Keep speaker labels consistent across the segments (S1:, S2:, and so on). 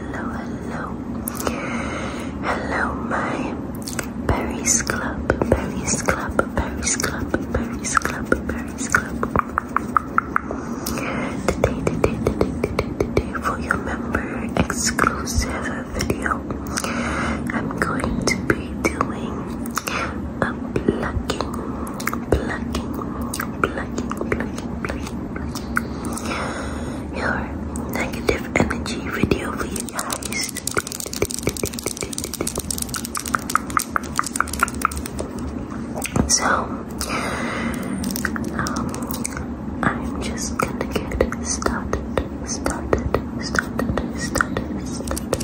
S1: hello, hello. Hello, my Berries Club, Berries Club, Berries Club, Berries Club, Berries Club. Today, today, today, today, today, for your member exclusive video, I'm going to be doing a plucking, plucking, plucking, plucking, plucking your negative energy video for you guys. So, um, I'm just gonna get started, started, started, started, started, started.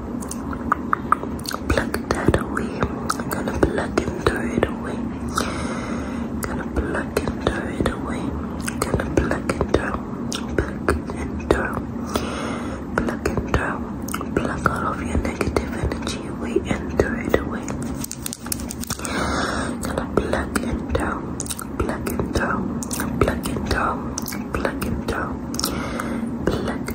S1: Pluck that away. I'm gonna pluck and throw it away. Gonna pluck and throw it away. Gonna pluck and throw. Pluck and throw. Pluck and throw. Pluck all of your negative energy away and throw it away. Gonna pluck and throw. Pluck and throw. Pluck and throw. Pluck and throw. Pluck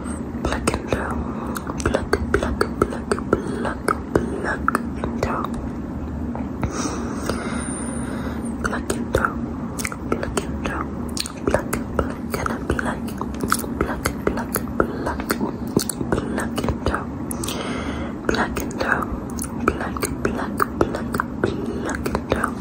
S1: pluck and throw. Pluck, pluck, pluck, pluck, pluck and throw. Pluck and throw. Pluck and throw. Pluck, pluck and pluck. Pluck, pluck, pluck, pluck and throw. Pluck and throw. Pluck, pluck, pluck, pluck and throw.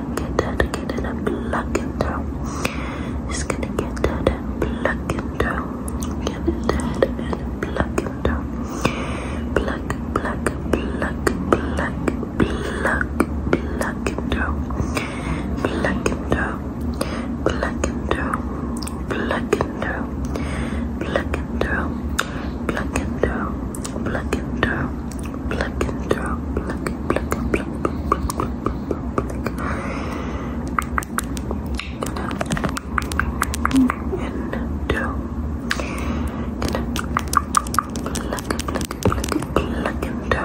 S1: get that, get it and pluck it down. It's gonna get that and pluck it down. Get it that and pluck it down. Pluck, pluck, pluck, pluck, pluck, pluck it down. Pluck it down. Pluck it down. Pluck it down. Pluck it down. Pluck it down. Pluck it down. Pluck and drop, pluck and pluck and pluck, pluck, pluck, pluck, pluck, and do. Pluck and pluck and pluck and pluck and do.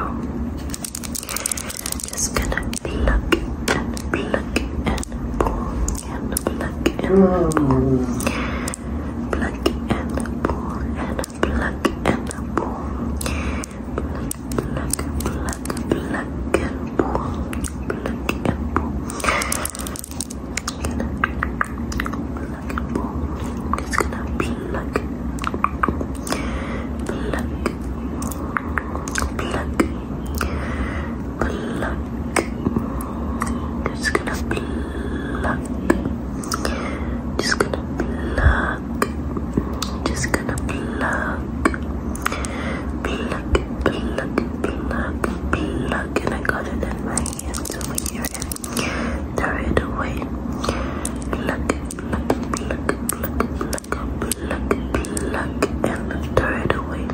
S1: Just gonna pluck and pluck and pull and pluck and pull. Pluck and pull and pluck, pluck, and boom. Pluck, pluck, pluck, pluck, and boom. Pluck and boom. Pluck and boom. I'm just gonna pluck, pluck, pluck, pluck. Just gonna pluck. Just gonna pluck pluck. Just gonna pluck. Pluck, pluck, pluck, pluck. And I got it in my hands over here and throw it away. Pluck, pluck, pluck, pluck, pluck, pluck, pluck, and throw it away.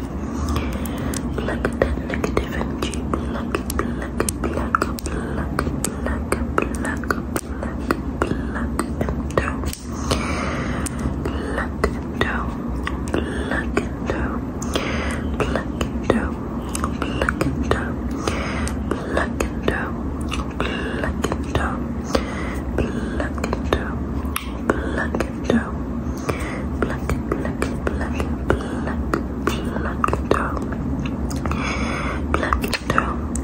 S1: Pluck that negative energy. Pluck, pluck, pluck, pluck, pluck, pluck pluck and down, pluck and down, pluck and down, pluck and down, pluck and down, pluck and down, pluck and down, pluck and down, pluck and down, pluck and pluck and pluck and pluck, pluck and down, pluck and down.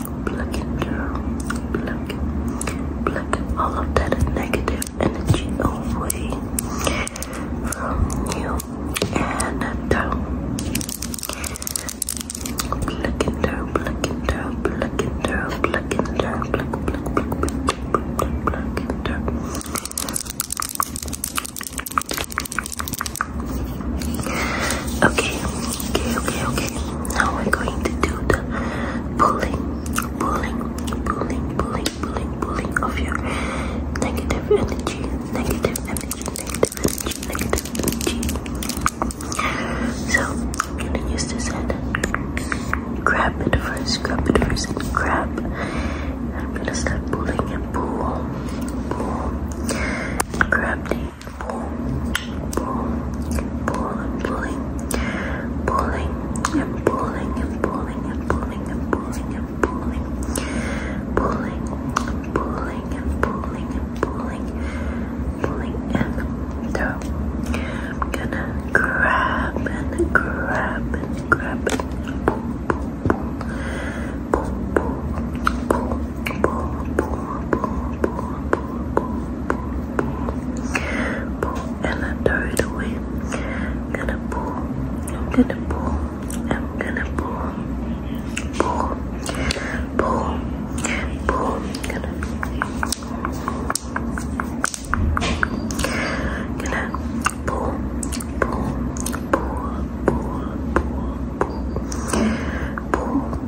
S1: Pluck it, girl. Pluck it. all of that negative energy away from you and out. Pluck it, girl. Pluck it, girl. Pluck it, girl. Pluck it, girl. Pluck, pluck, pluck, pluck, pluck, pluck it, Okay, Okay, okay, okay. Now we're going to do the pulling, pulling, pulling, pulling, pulling, pulling of your negative energy, negative energy, negative energy, negative energy. So I'm gonna use this hand. Grab it first, grab it first, and grab. I'm gonna start pulling and pull, pull, grab the and pulling, pulling and pulling and pulling and pulling and pulling and pulling, pulling and pulling and pulling and pulling, pulling and so I'm gonna grab and grab and grab and pull, pull, pull, pull, pull, pull, pull, pull, pull, pull. Pull and I throw it away. I'm gonna pull, I'm gonna pull, I'm gonna pull, pull, pull, pull, gonna gonna pull, pull, pull, pull, pull, pull, pull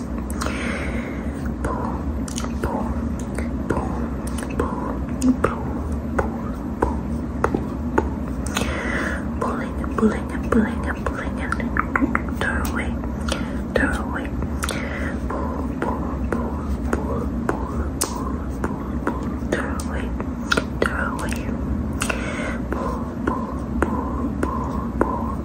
S1: Pulling, pulling, pulling, pulling, and turn away, turn away. Pull, pull, pull, pull, pull, pull, pull, pull, turn away, turn away. Pull, pull, pull, pull, pull,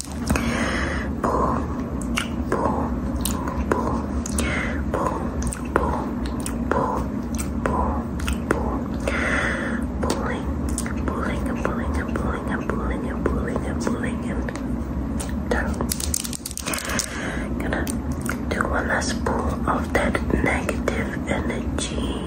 S1: pulling and pulling and pulling and pulling and pulling and pulling and done. Gonna do one last pull of that negative energy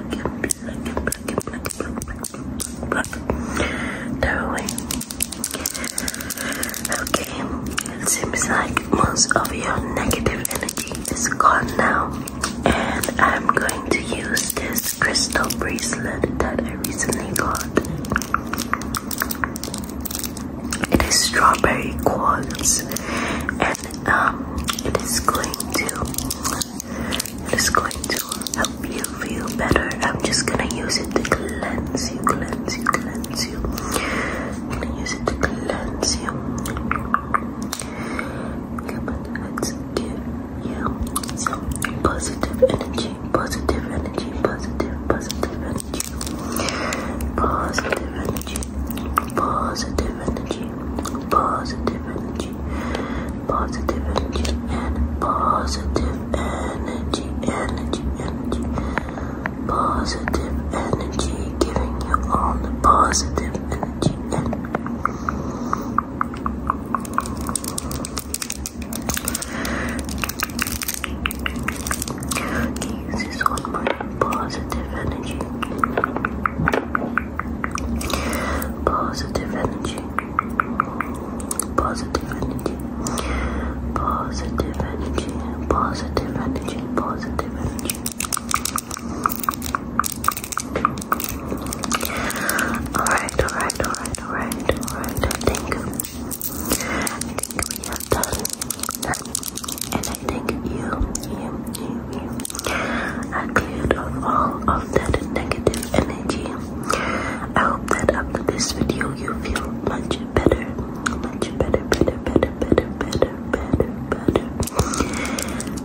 S1: Okay, it seems like most of your negative energy is gone now. And I'm going to use this crystal bracelet that I recently got. It is strawberry quartz um, it is going to, it is going to help you feel better. I'm just gonna use it to cleanse you, cleanse you, cleanse you. gonna use it to cleanse you. Come on, let's give you positive energy, positive energy, positive, positive energy, positive positive energy, positive energy, positive energy, and positive energy, energy, energy, positive energy, giving you all the positive energy. And this all my positive energy. Positive energy. Positive energy. Positive energy. Positive energy. Positive energy. Alright, alright, alright, alright, I think, I think we have done. And I think you, you, you, you are cleared all of that negative energy. I hope that after this video you feel much better. Much better, better, better, better, better, better, better.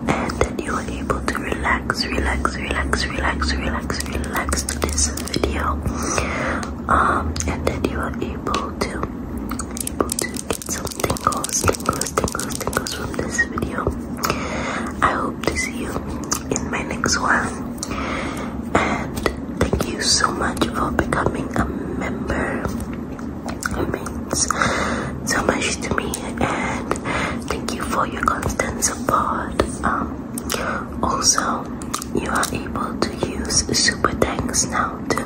S1: And that you are able to relax, relax, relax, relax, relax, relax to this video. Um, and that you are able to able to get some tingles, tingles, tingles, from this video. I hope to see you in my next one. And thank you so much for becoming a member. It means so much to me, and thank you for your constant support. Um, also, you are able to use super thanks now to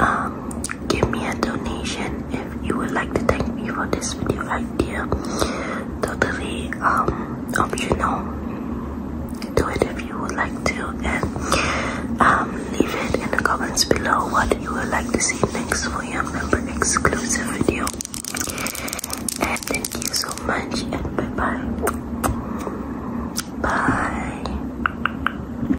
S1: um, give me a donation if you would like to thank me for this video idea. Totally um, optional. Do it if you would like to and um, leave it in the comments below what you would like to see next for your member exclusive video. And thank you so much and bye bye. Bye.